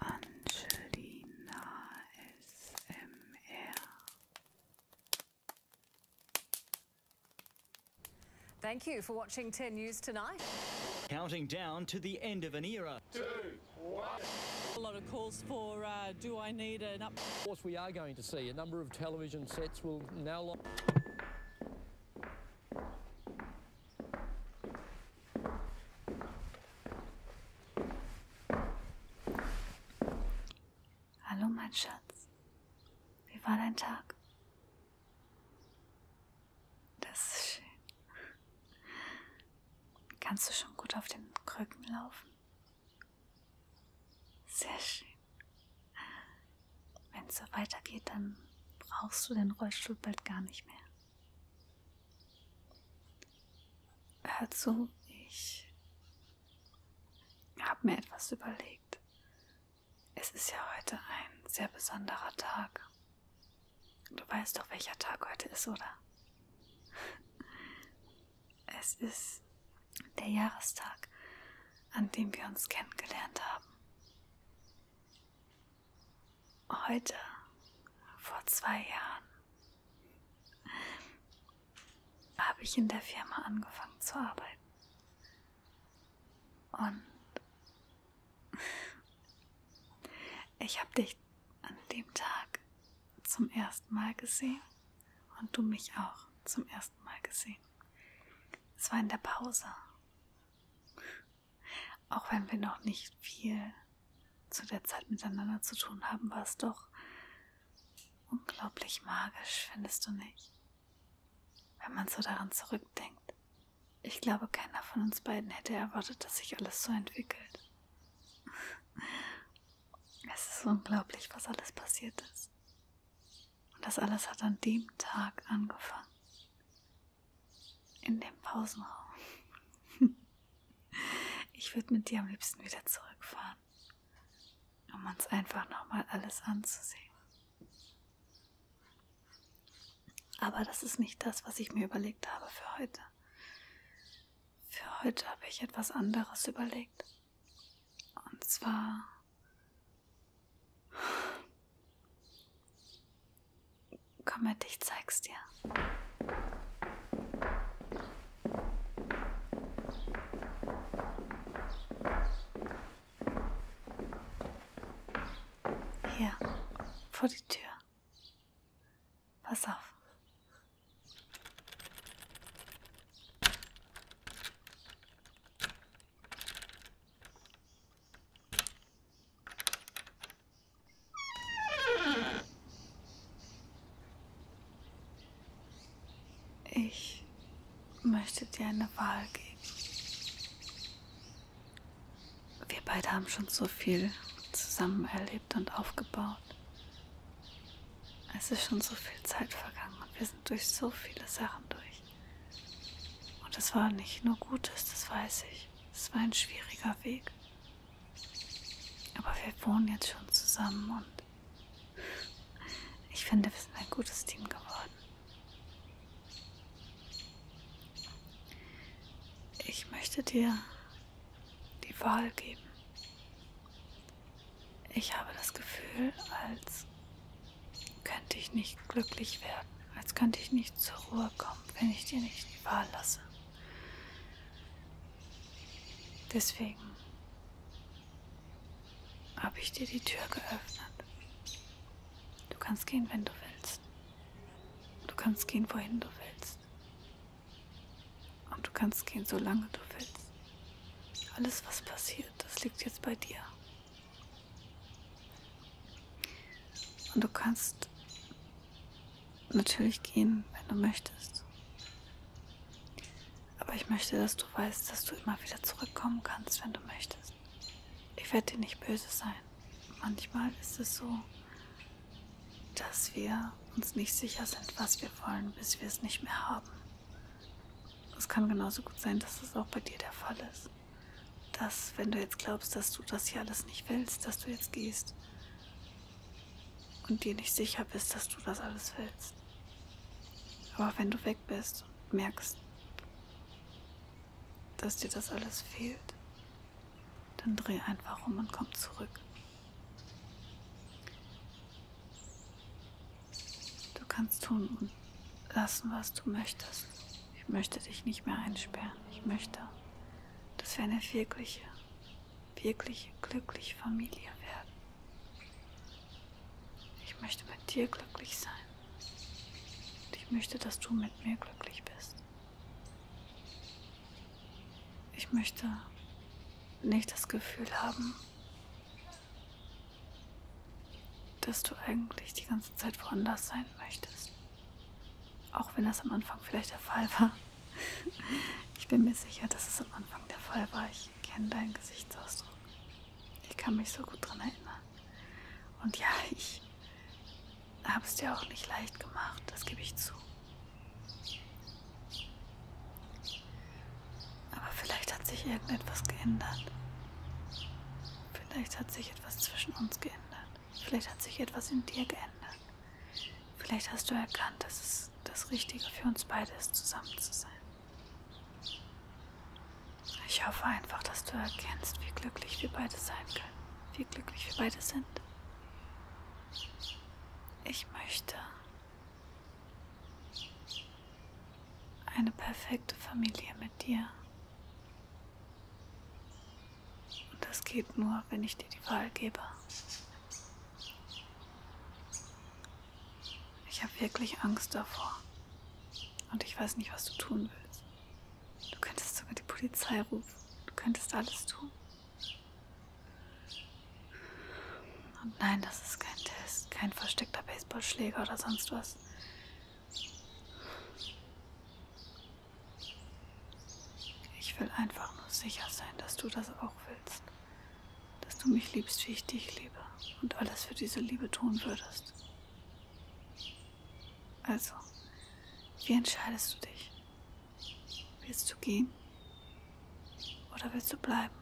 Angelina SMR. Thank you for watching 10 News tonight. Counting down to the end of an era. A lot of calls for uh, do I need an up. Of course, we are going to see a number of television sets will now. Hallo, mein Schatz. Wie war dein Tag? Das ist schön. Kannst du schon gut auf den Krücken laufen? Sehr schön. Wenn es so weitergeht, dann brauchst du den Rollstuhl bald gar nicht mehr. Hör zu, ich habe mir etwas überlegt. Es ist ja heute ein sehr besonderer Tag. Du weißt doch, welcher Tag heute ist, oder? Es ist der Jahrestag, an dem wir uns kennengelernt haben heute, vor zwei Jahren, habe ich in der Firma angefangen zu arbeiten. Und ich habe dich an dem Tag zum ersten Mal gesehen und du mich auch zum ersten Mal gesehen. Es war in der Pause auch wenn wir noch nicht viel zu der Zeit miteinander zu tun haben, war es doch unglaublich magisch, findest du nicht? Wenn man so daran zurückdenkt. Ich glaube, keiner von uns beiden hätte erwartet, dass sich alles so entwickelt. Es ist unglaublich, was alles passiert ist. Und das alles hat an dem Tag angefangen. In dem Pausenraum. ich würde mit dir am liebsten wieder zurückfahren, um uns einfach nochmal alles anzusehen. Aber das ist nicht das, was ich mir überlegt habe für heute. Für heute habe ich etwas anderes überlegt. Und zwar Komm mit, ich zeig's dir. Hier, vor die Tür. Pass auf. Ich möchte dir eine Wahl geben. Wir beide haben schon so viel zusammen erlebt und aufgebaut. Es ist schon so viel Zeit vergangen und wir sind durch so viele Sachen durch. Und es war nicht nur Gutes, das weiß ich. Es war ein schwieriger Weg. Aber wir wohnen jetzt schon zusammen und ich finde, wir sind ein gutes Team geworden. Ich möchte dir die Wahl geben. Ich habe das Gefühl, als könnte ich nicht glücklich werden, als könnte ich nicht zur Ruhe kommen, wenn ich dir nicht die Wahl lasse. Deswegen habe ich dir die Tür geöffnet. Du kannst gehen, wenn du willst. Du kannst gehen, wohin du willst. Und du kannst gehen, solange du willst. Alles, was passiert, das liegt jetzt bei dir. Und du kannst natürlich gehen, wenn du möchtest. Aber ich möchte, dass du weißt, dass du immer wieder zurückkommen kannst, wenn du möchtest. Ich werde dir nicht böse sein. Manchmal ist es so, dass wir uns nicht sicher sind, was wir wollen, bis wir es nicht mehr haben. Es kann genauso gut sein, dass das auch bei dir der Fall ist. Dass, wenn du jetzt glaubst, dass du das hier alles nicht willst, dass du jetzt gehst und dir nicht sicher bist, dass du das alles willst. Aber wenn du weg bist und merkst, dass dir das alles fehlt, dann dreh einfach um und komm zurück. Du kannst tun und lassen, was du möchtest. Ich möchte dich nicht mehr einsperren. Ich möchte, dass wir eine wirkliche, wirkliche, glückliche Familie werden. Ich möchte mit dir glücklich sein. Und ich möchte, dass du mit mir glücklich bist. Ich möchte nicht das Gefühl haben, dass du eigentlich die ganze Zeit woanders sein möchtest. Auch wenn das am Anfang vielleicht der Fall war. Ich bin mir sicher, dass es am Anfang der Fall war. Ich kenne deinen Gesichtsausdruck. Ich kann mich so gut dran erinnern. Und ja, ich habe es dir auch nicht leicht gemacht, das gebe ich zu. Aber vielleicht hat sich irgendetwas geändert. Vielleicht hat sich etwas zwischen uns geändert. Vielleicht hat sich etwas in dir geändert. Vielleicht hast du erkannt, dass es das Richtige für uns beide ist, zusammen zu sein. Ich hoffe einfach, dass du erkennst, wie glücklich wir beide sein können, wie glücklich wir beide sind. Ich möchte, eine perfekte Familie mit dir. Und das geht nur, wenn ich dir die Wahl gebe. Ich habe wirklich Angst davor. Und ich weiß nicht, was du tun willst. Du könntest sogar die Polizei rufen. Du könntest alles tun. Und nein, das ist kein Test, kein versteckter Baseballschläger oder sonst was. Ich will einfach nur sicher sein, dass du das auch willst. Dass du mich liebst, wie ich dich liebe und alles für diese Liebe tun würdest. Also, wie entscheidest du dich? Willst du gehen oder willst du bleiben?